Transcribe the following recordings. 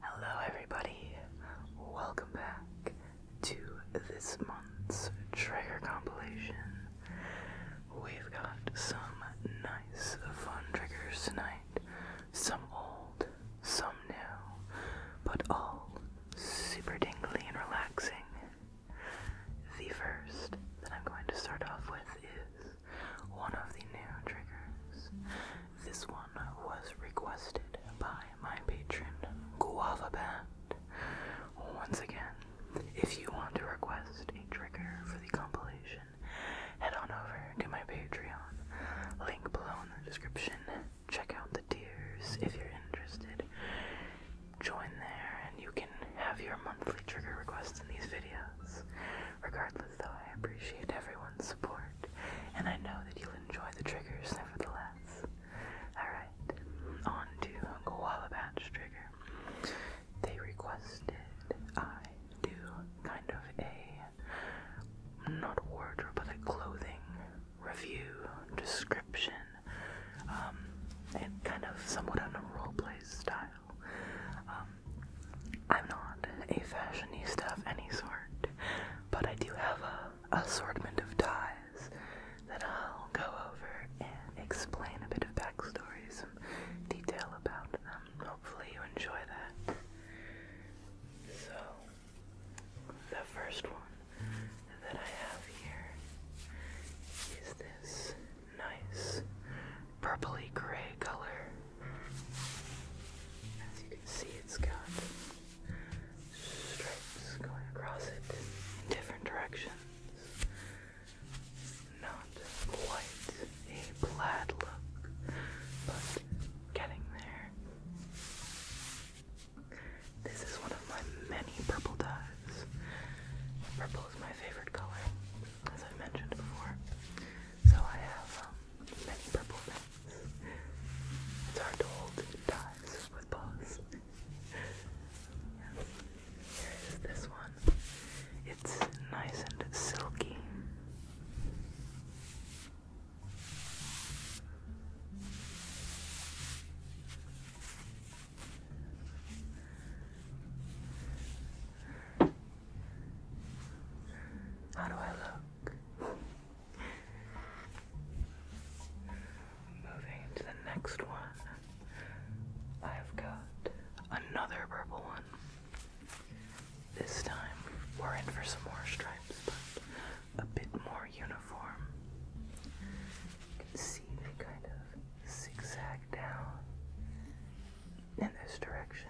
Hello, everybody. Welcome back to this month's trigger compilation. We've got some nice, fun triggers tonight. Some old, some new, but all super dingly and relaxing. The first that I'm going to start off with is one of the new triggers. This one was requested by my patron, Guava Band. Once again, if you want to request a trigger for the compilation, head on over to my Patreon. Link below in the description. Check out the tiers if you're interested. Join there and you can have your monthly trigger requests in these videos. Regardless, though, I appreciate everyone's support, and I know that you'll enjoy the triggers nevertheless. Alright, on to Uncle trigger. They requested I do kind of a, not wardrobe, but a clothing review, description, um, and kind of somewhat on a roleplay style. Um, I'm not a fashionista of any sort, but I do have a assortment of ties that I'll go over and explain a bit of backstory, and detail about them. Hopefully you enjoy that. So, the first one that I have here is this nice purpley gray color. As you can see, it's got stripes going across it in different directions. Not quite a plaid look, but getting there. This is one of my many purple dyes. Purple is my favorite color as I mentioned before. So I have um, many purple things. It's hard to hold ties with paws. Yes. this one. It's nice and silky. How do I look? Moving to the next one, I've got another purple one. This time we're in for some more stripes, but a bit more uniform. You can see they kind of zigzag down in this direction.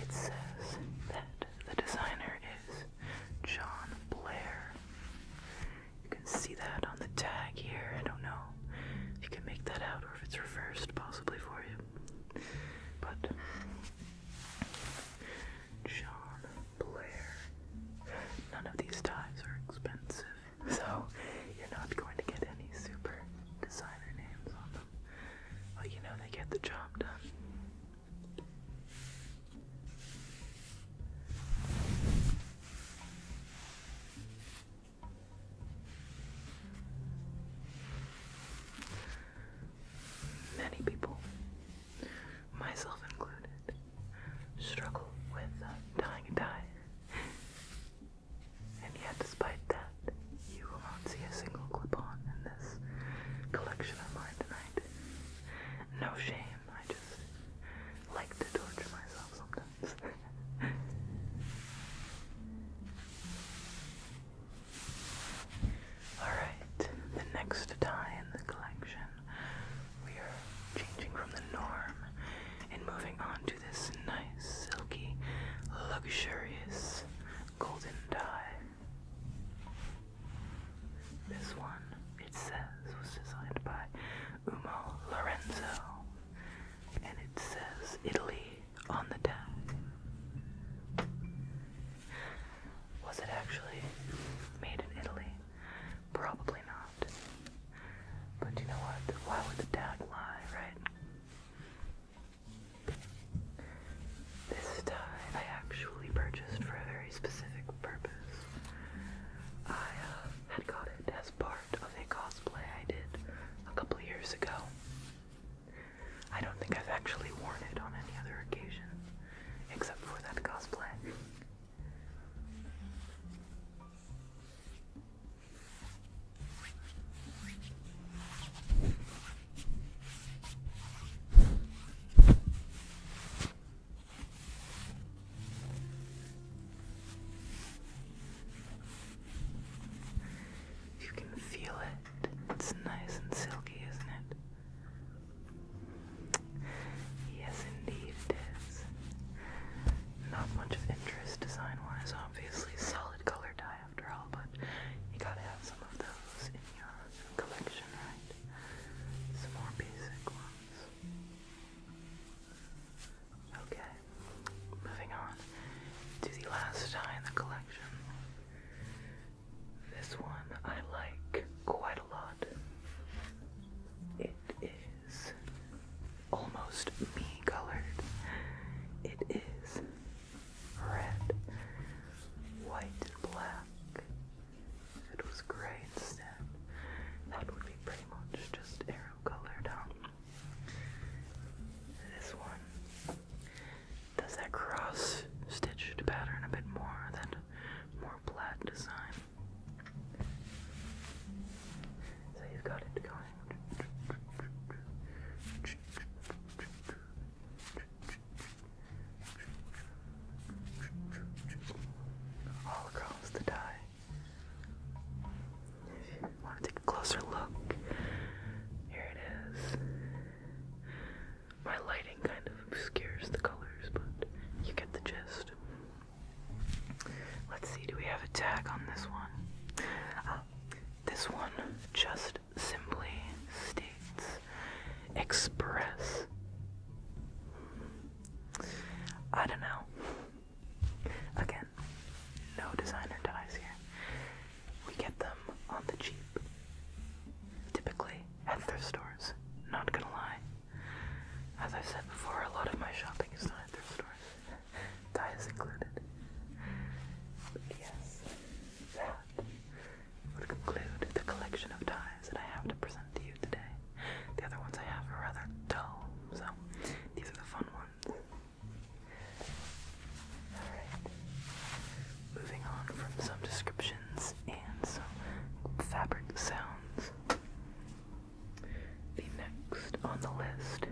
It says that the designer is John Blair. You can see that on the tag here. I don't know if you can make that out or if it's reversed possibly for you. But John Blair. None of these ties are expensive, so you're not going to get any super designer names on them. But you know they get the job done. Many people, myself included, struggle with uh, dying a die. And yet, despite that, you will not see a single clip on in this collection of mine tonight. No shame, I just like to torture myself sometimes. Alright, the next tie in the collection, we are changing from the norm and moving on to this nice, silky, luxurious golden tie. This one, it says, was designed by Umo Lorenzo, and it says Italy on the tag. Was it actually made in Italy? Probably not. But you know what? Why would the tag lie, right? This tie I actually purchased for a very specific purpose. I uh, had got it as part of a cosplay I did a couple years ago. I don't think I've actually worn it on any other occasion, except for that cosplay. You can feel it. It's nice and silky, isn't it? Yes, indeed it is. Not much of interest design-wise, obviously. Solid color dye after all, but you gotta have some of those in your collection, right? Some more basic ones. Okay moving on to the last tie in the collection. This one I like quite a lot. It is almost me colored. It is red, white, and black. If it was gray instead, that would be pretty much just arrow colored down this one does that cross stitched pattern a bit more, that more plaid design. So you've got it going. All across the tie. Want to take a closer look? Here it is. My lighting kind of obscures the colors, but you get the gist. Let's see, do we have a tag on this one? Uh, this one just simply states express. I don't know. Again, no designer ties here. We get them on the cheap, typically at thrift stores. Not gonna lie. As I've said before, a lot of my shopping is done at thrift stores, ties included. But yes, that would conclude the collection of ties that I have to present to you today. The other ones I have are rather dull, so these are the fun ones. Alright. Moving on from some descriptions and some fabric sounds. The next on the list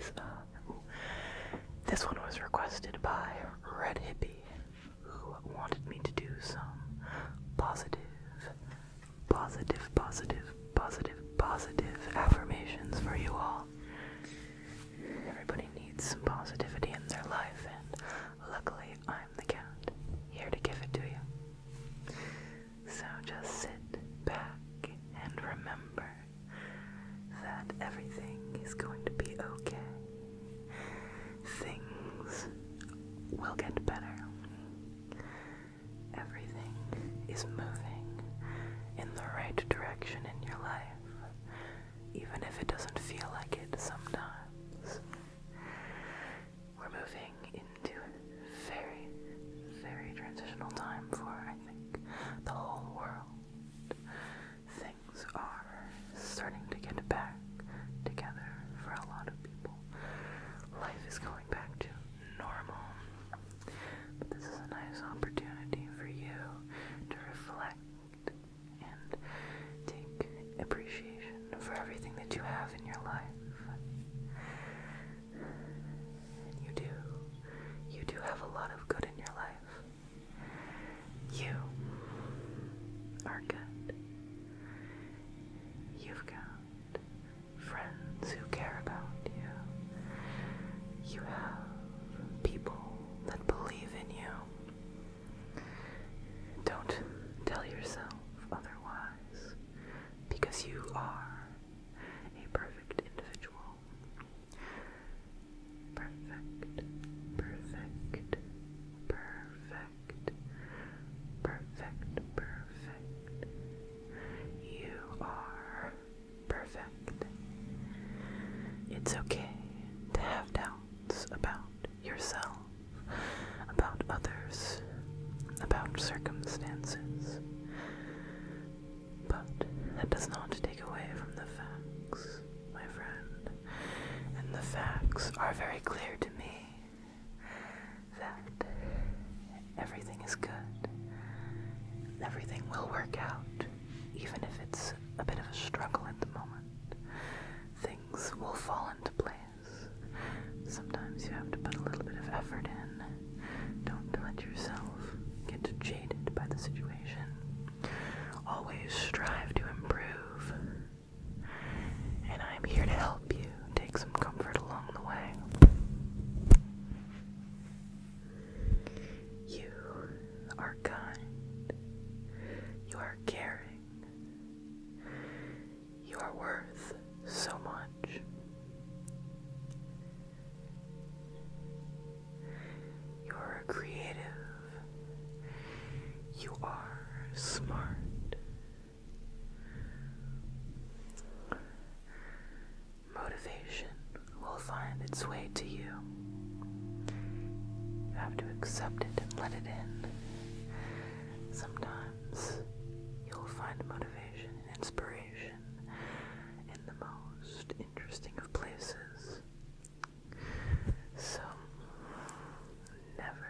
is uh, this one was requested by Red Hippie, who wanted me to do some positive, positive, positive, positive, positive affirmations for you all. Everybody needs some positivity in their life, and luckily I'm the cat, here to give it to you. So just sit back and remember that everything is going to be okay. Things will get better. Everything is moving in the right direction in your life, even if it doesn't feel like it sometimes. We're moving into a very, very transitional time for, I think, the whole world. Things are starting to get back together for a lot of people. Life is going back to normal. But this is a nice opportunity for you to reflect and take appreciation for everything that you have in your life. And you do. You do have a lot of good in your life. You are good. You've got friends who care about you. You have people that believe in you. Don't tell yourself otherwise, because you are a perfect individual. Perfect, perfect, perfect, perfect, perfect. You are perfect. It's okay to have doubts about yourself, about others, about circumstances. But that does not take away from the facts, my friend. And the facts are very clear to me that Everything is good. Everything will work out, even if it's a bit of a struggle at the moment. Things will fall into place. Sometimes you have to put a little bit of effort in. Don't let yourself get jaded by the situation. Always strive to improve. And I'm here to help you take some comfort along the way. You are kind. You are caring. You are worth so much. You are creative. You are smart motivation will find its way to you. You have to accept it and let it in. Sometimes you'll find motivation and inspiration in the most interesting of places. So, never,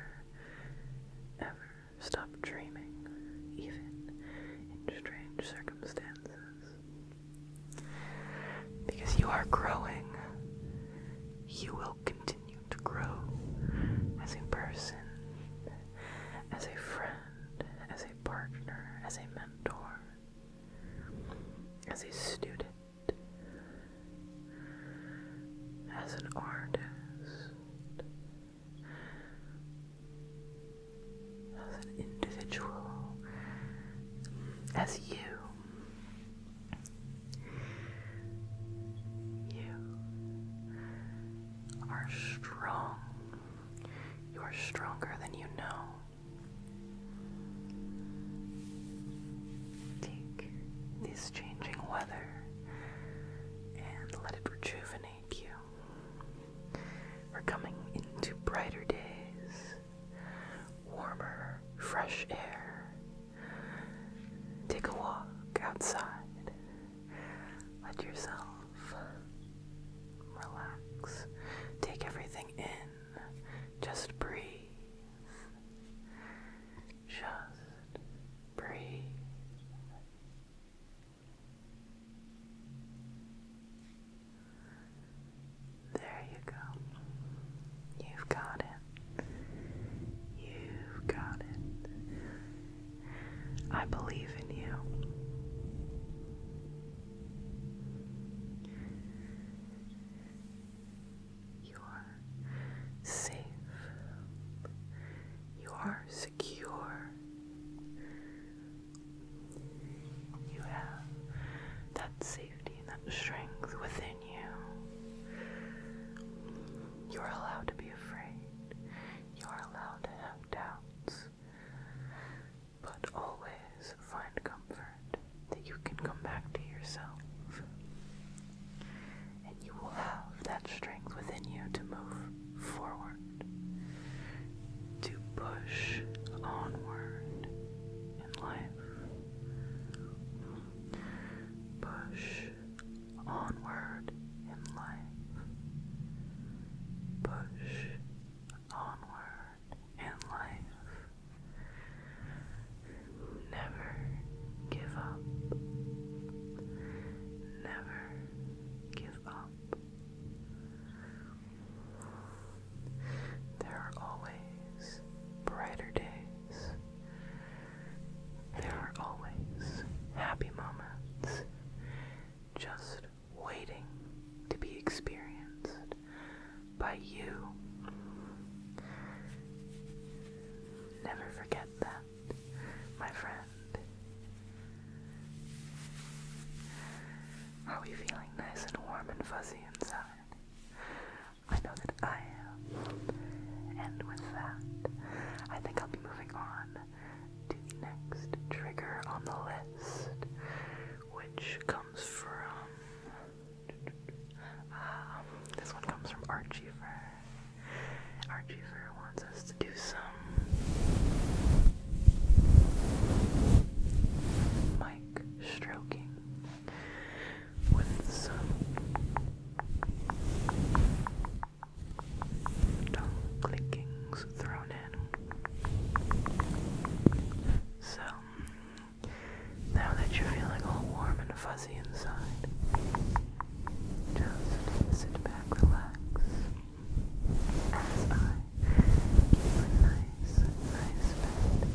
ever stop dreaming, even in strange circumstances. Because you are growing, you will continue to grow as a person, as a friend, as a partner, as a mentor, as a student, as an artist, as an individual, as you. You are strong. You are stronger than you know. Take this changing weather and let it rejuvenate Thank you. We're coming into brighter days, warmer, fresh air. Take a walk outside. Let yourself relax. Take everything in. Just breathe. Just breathe. There you go. You've got it. You've got it. I believe in you. You are safe. You are safe secure. You have that safety and that strength within you. You're allowed to be afraid. You're allowed to have doubts. But always find comfort that you can come back to yourself. And you will have that strength within you to move forward to push onward in life. Push onward in life. Push onward in life. Never give up. Never give up. There are always brighter days. There are always happy moments just waiting to be experienced by you. Never forget that, my friend hand. Are we feeling nice and warm and fuzzy inside? I know that I am. And with that, I think I'll be moving on to the next trigger on the list, which comes from. Um, this one comes from Archiever. Archiever Mother wants us to do some mic stroking with some tongue clickings thrown in. So, now that you're feeling all warm and fuzzy inside, just sit back, relax. That's fine. nice, nice bed.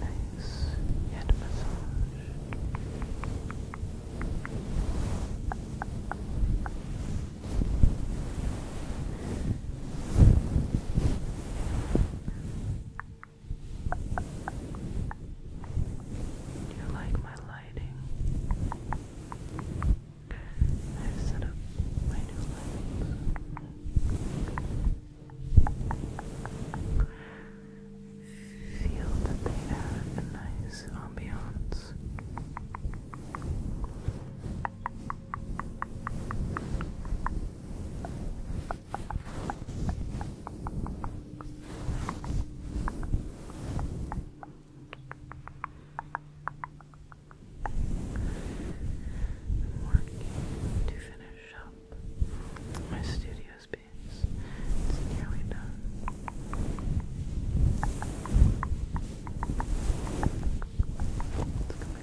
Nice head massage. you like my lighting? I've set up my new lights. Feel that they add a nice ambiance working to finish up my studio space. It's nearly done. It's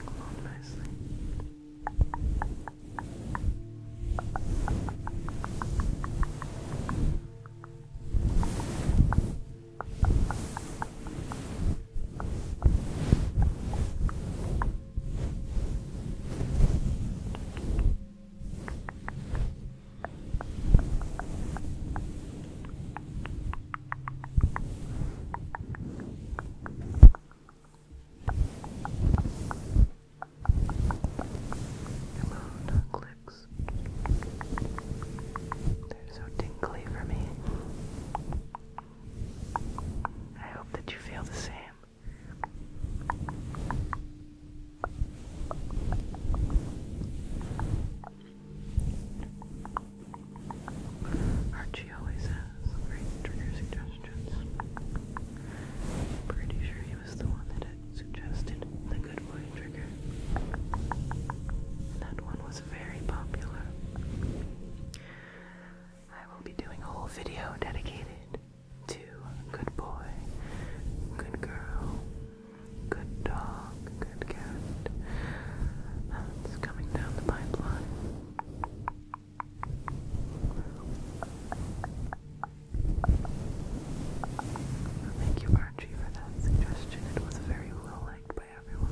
coming along nicely. Hello, click, they're so tingly for me. I hope that you feel the same. Archie always has great trigger suggestions. Pretty sure he was the one that suggested the Good Wood that one was very popular. I will be doing a whole video dedicated to good boy, good girl, good dog, good cat. That's coming down the pipeline. Thank you, Thank you for that suggestion. It was very well liked by everyone.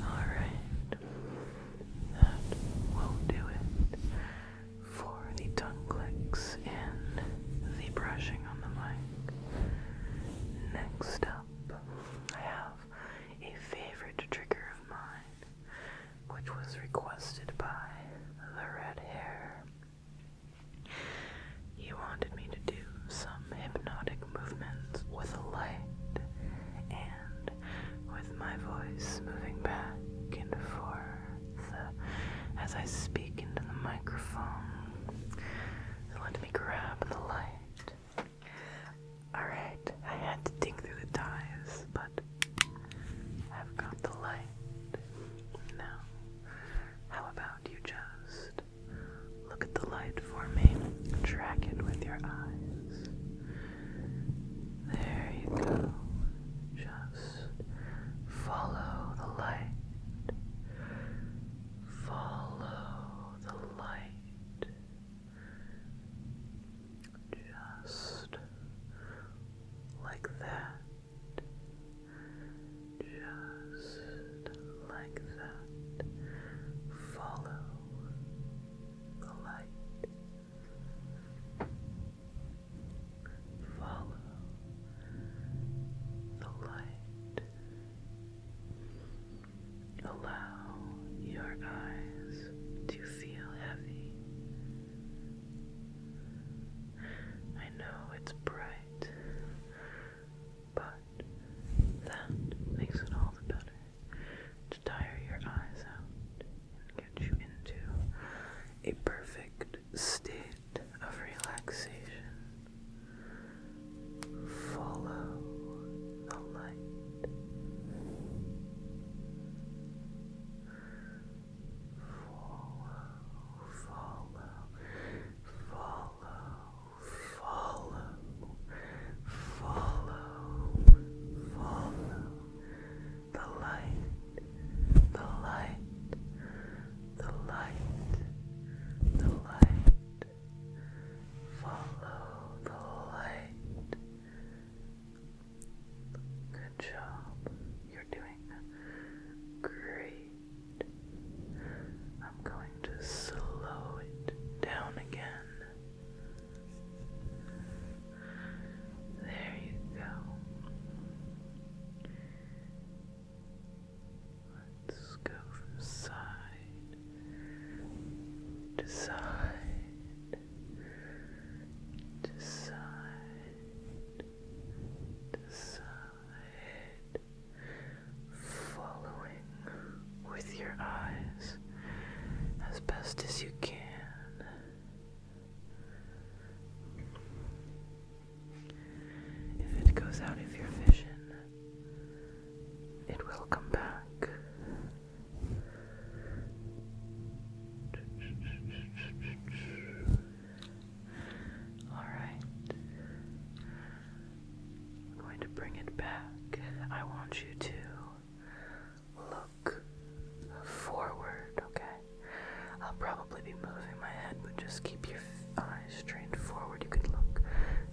Alright, that will do it for the tongue clicks and the brushing on the mic. Next up, I have a favorite trigger of mine, which was requested by the Red Hair he wanted me to do some hypnotic movements with a light and with my voice moving back and forth as I speak into the microphone. Let me grab the light. Alright, I had to dig through the ties, but I've got the light. Now, how about you just Look at the light for me. Track it with your eyes. There you go. Just follow the light. Follow the light. Just like that. Just like that. Follow the light. Follow the light. Allow your eyes to feel heavy. I know it's bright, but that makes it all the better to tire your eyes out and get you into a perfect state of relaxation. Follow the light. Follow, follow, follow follow, follow, follow the light, the light, the light, the light, follow the light. Good job. You're doing great. I'm going to slow it down again. There you go. Let's go from side to side to side to side following with your eyes as best as you can. If it goes out of your vision, it will come back. Alright. I'm going to bring it back. I want you to look forward, okay? I'll probably be moving my head, but just keep your eyes straight forward. You can look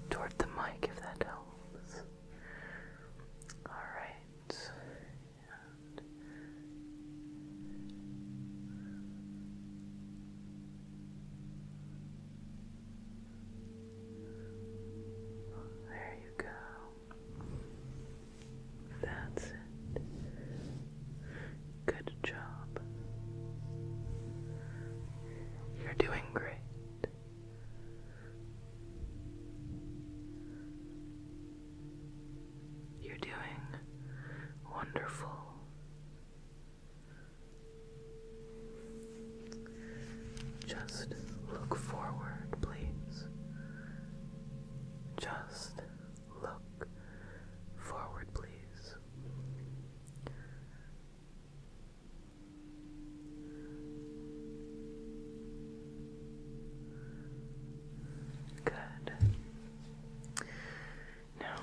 toward the mic if that helps. Alright. There you go. That's it. Good job. You're doing great. You're doing wonderful. Just look forward, please. Just look forward, please. Good. Now,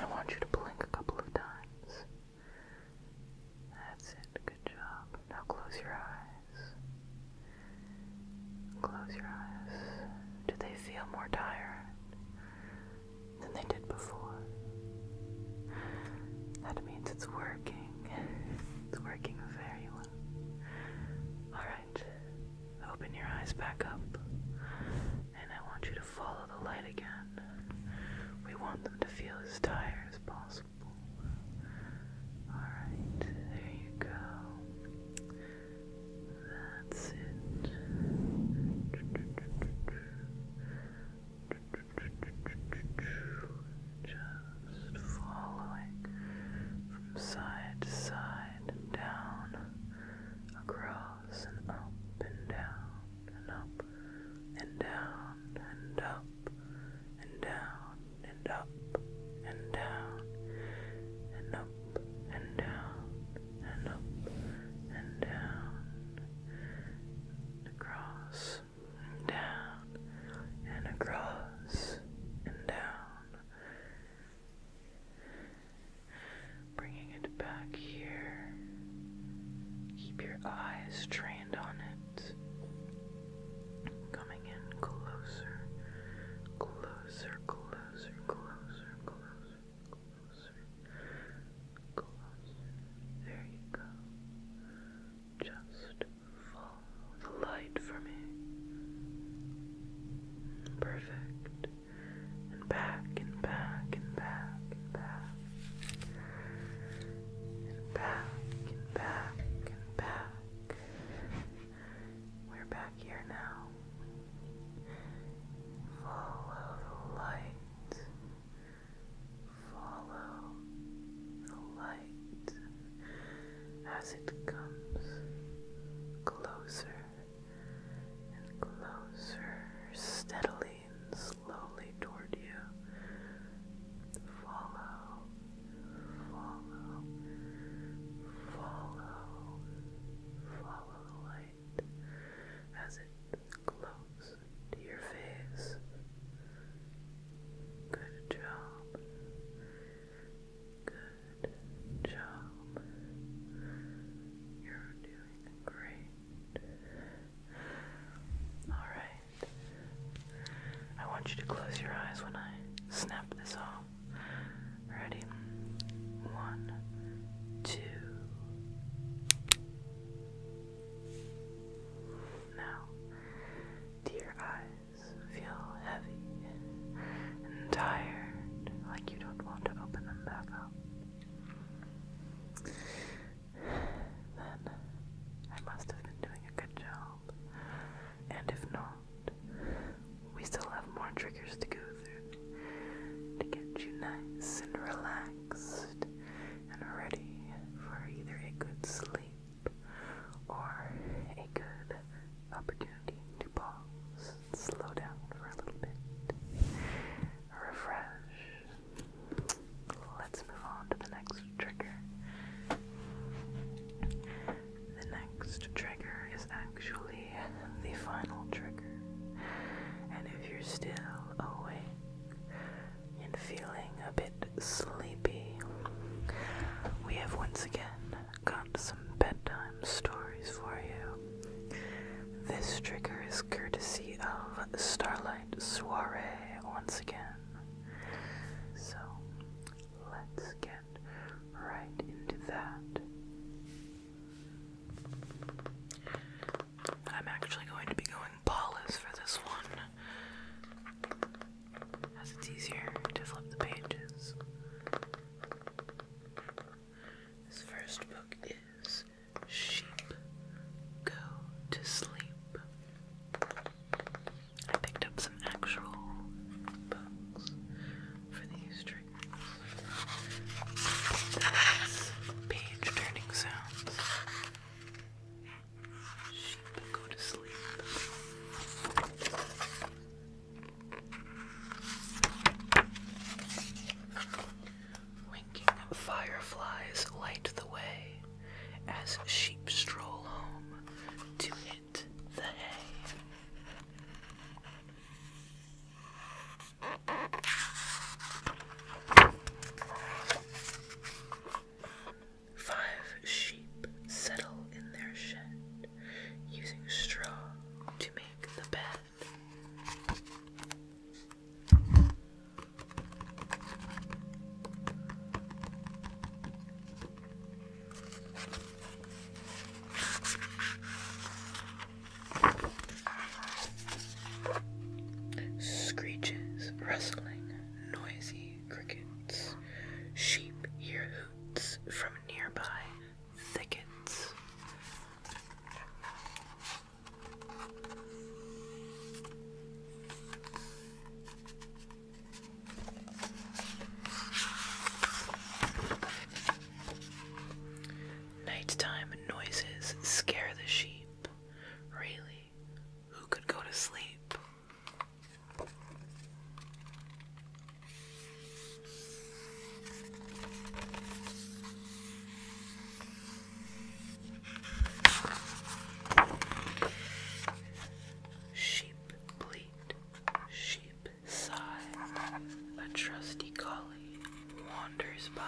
I want you to blink a couple of times. That's it. Good job. Now close your eyes. Close your eyes. Do they feel more tired than they did before? That means it's working. It's working very well. Alright. Open your eyes back up. And I want you to follow the light again. We want them to feel as tired as possible. Alright, there you go. That's it. Just following from side to side, down, across across and up and down and up and down and up and down and up and down and up and down and up and down and across and down and across and down Bringing it back here. Keep your eyes trained on it. Coming in closer, closer, closer, closer, closer, closer, There you go. Just follow the light for me. Perfect and back and back and back and back and back and back and back. We're back here now. Follow the light. Follow the light as it comes closer and closer, steadily and slowly toward you. Follow, follow, follow, follow the light as it glows to your face. Good job. Good job. You're doing great. Alright. I want you to close your eyes when I snap this off. Ready? One, two. Now, do eyes feel heavy and tired, like you don't want to open them back up? Then I must have been doing a good job. And if not, we still have more triggers to go through to get you nice and relaxed and ready for either a good sleep or a good opportunity to pause slow down for a little bit, refresh. Let's move on to the next trigger. The next trigger is actually the final trigger, and if you're still awake and feeling a bit sleepy, we have once again got some bedtime stories for you. This trigger is courtesy of Starlight Soiree once again. So let's get right into that. I'm actually going to be going Paula's for this one, as it's easier to flip the pages. His first book is Sheep Go to Sleep. I picked up some actual books for these treatments. page turning sounds. Sheep go to sleep. Winking fireflies light the way as sheep stroll home to hit the hay. Five sheep settle in their shed using straw to make the bed. Screeches, rustling, noisy crickets. Sheep hear hoots from nearby thickets. Nighttime noises scare the sheep. Really, who could go to sleep? Sheep bleat, sheep sigh, a trusty collie wanders by.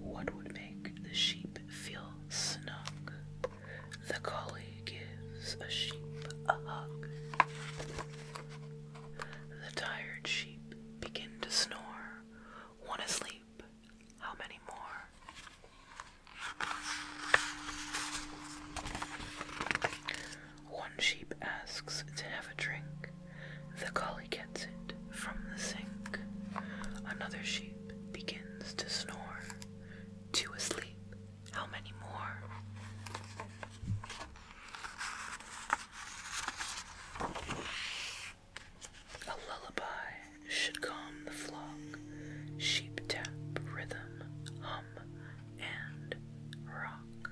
What would make the sheep feel snug? The collie gives a sheep a hug. The tired sheep begin to snore. Want to sleep? How many more? One sheep asks to have a drink. The collie gets it from the sink. Another sheep begins to snore. Two asleep. How many more? A lullaby should calm the flock. Sheep tap rhythm and Rock.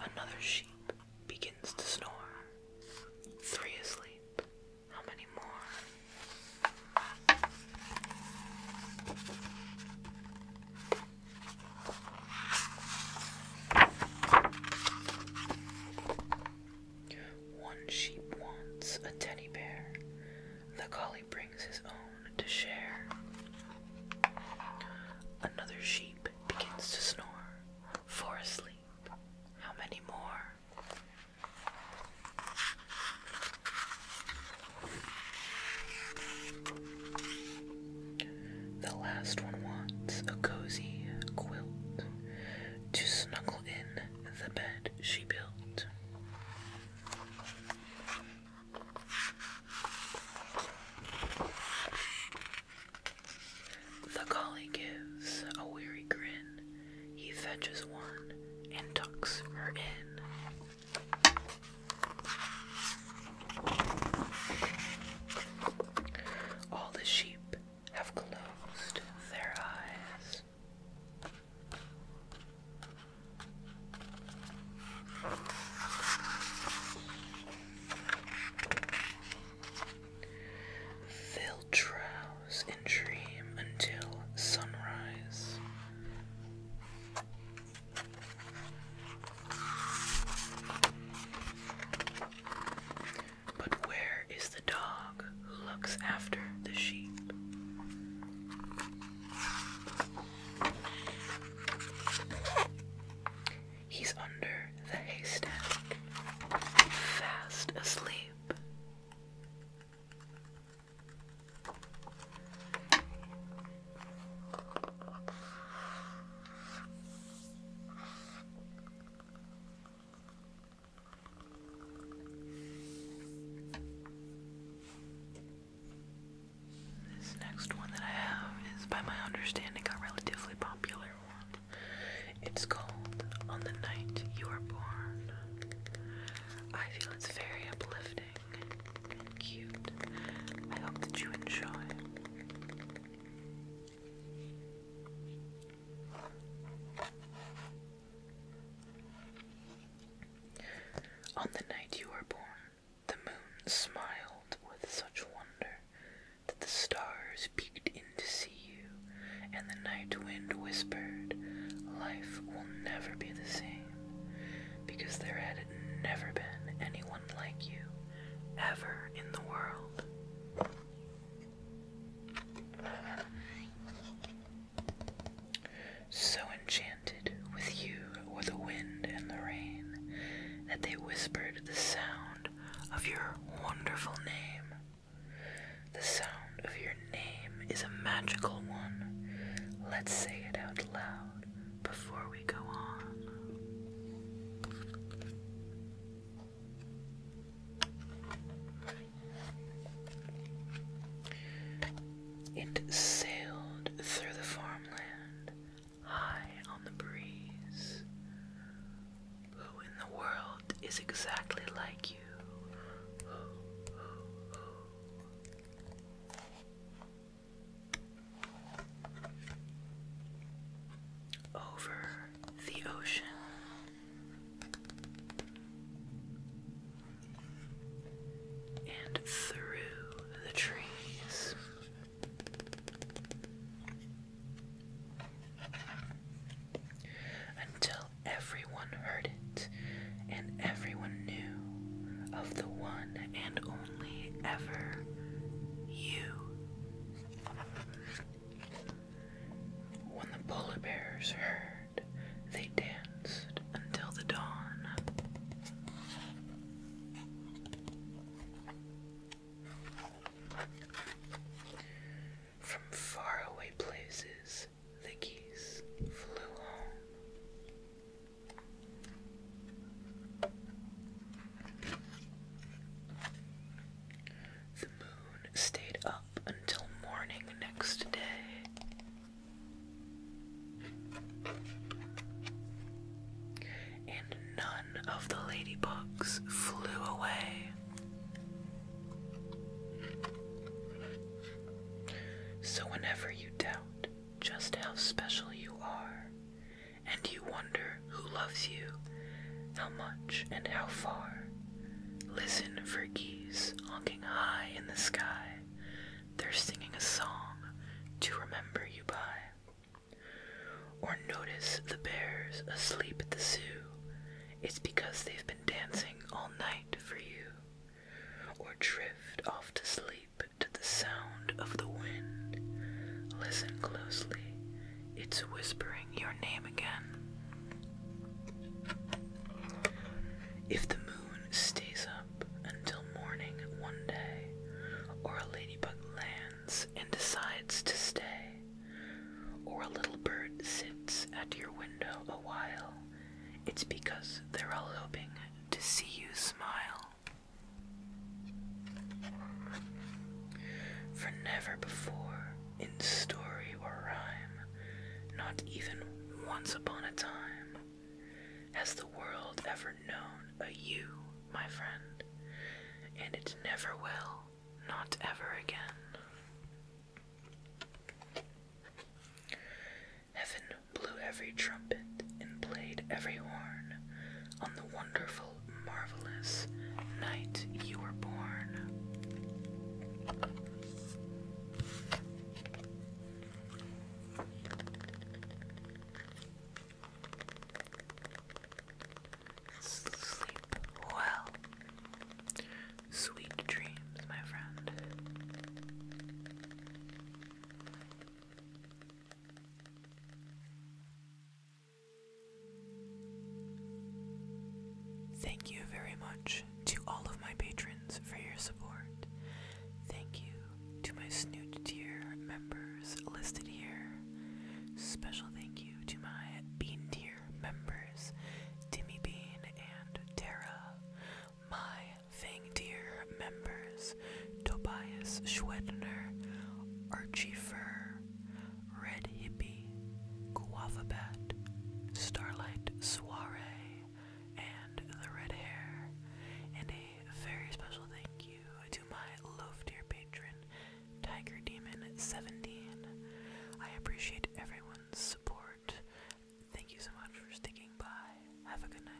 Another sheep begins to snore. Three asleep. How many more? One sheep wants a teddy bear. The collie brings his own to share. Another sheep begins to snore, for asleep. How many more? The last one wants a cozy quilt to snuggle in the bed she built. The collie gives a weary grin. He fetches one and tucks her in. All the sheep have closed their eyes. They'll drowse and dream until sunrise. But where is the dog who looks after the sheep? He's under the haystack, fast asleep. This next one that I have is, by my understanding, a relatively popular one. It's called On the Night You Were Born. I feel it's very uplifting and cute. I hope that you enjoy. On the night you were born, the moon smiled with such wonder that the stars peeked in to see you, and the night wind whispered, Life will never be the same, because there had never been anyone like you ever in the world so enchanted with you or the wind and the rain that they whispered the sound of your wonderful name. The sound of your name is a magical one. Let's say it out loud before we go on. It sailed through the farmland, high on the breeze. Who in the world is exactly like you? Over the ocean and through the trees. Until everyone heard it, and everyone knew of the one and only ever you. When the polar bears heard they danced until the dawn. From faraway places, the geese flew home. The moon stayed up until morning next day. And none of the ladybugs flew away. So, whenever you doubt just how special you are, and you wonder who loves you, how much, and how far, listen for geese honking high in the sky they're singing a song to remember you by. Or notice the bears asleep at the zoo. It's because they've been dancing all night for you. Or drift off to sleep to the sound of the wind. Listen closely, it's whispering your name again. If the moon stays up, until morning one day, or a ladybug lands and decides to stay, or a little bird sits at your window a while, it's because they're all hoping to see you smile. For never before, in story or rhyme, not even once upon a time, has the world ever known a you, my friend? And it never will, not ever again. Heaven blew every trumpet and played every horn on the wonderful, marvelous night you were born. Sleep well. Sweet dreams, my friend. Thank you very much to all of my patrons for your support. Thank you to my Snoot dear members listed here. Special thank you to my Bean dear members, Timmy Bean and Tara. My Fang dear members, Tobias Schwedner, Archie Fur, Red Hippy, Guava Bat, Starlight Soiree, and the red hair. And a very special thank you to my loaf dear patron, Tiger Demon 17. I appreciate everyone's support. Thank you so much for sticking by. Have a good night.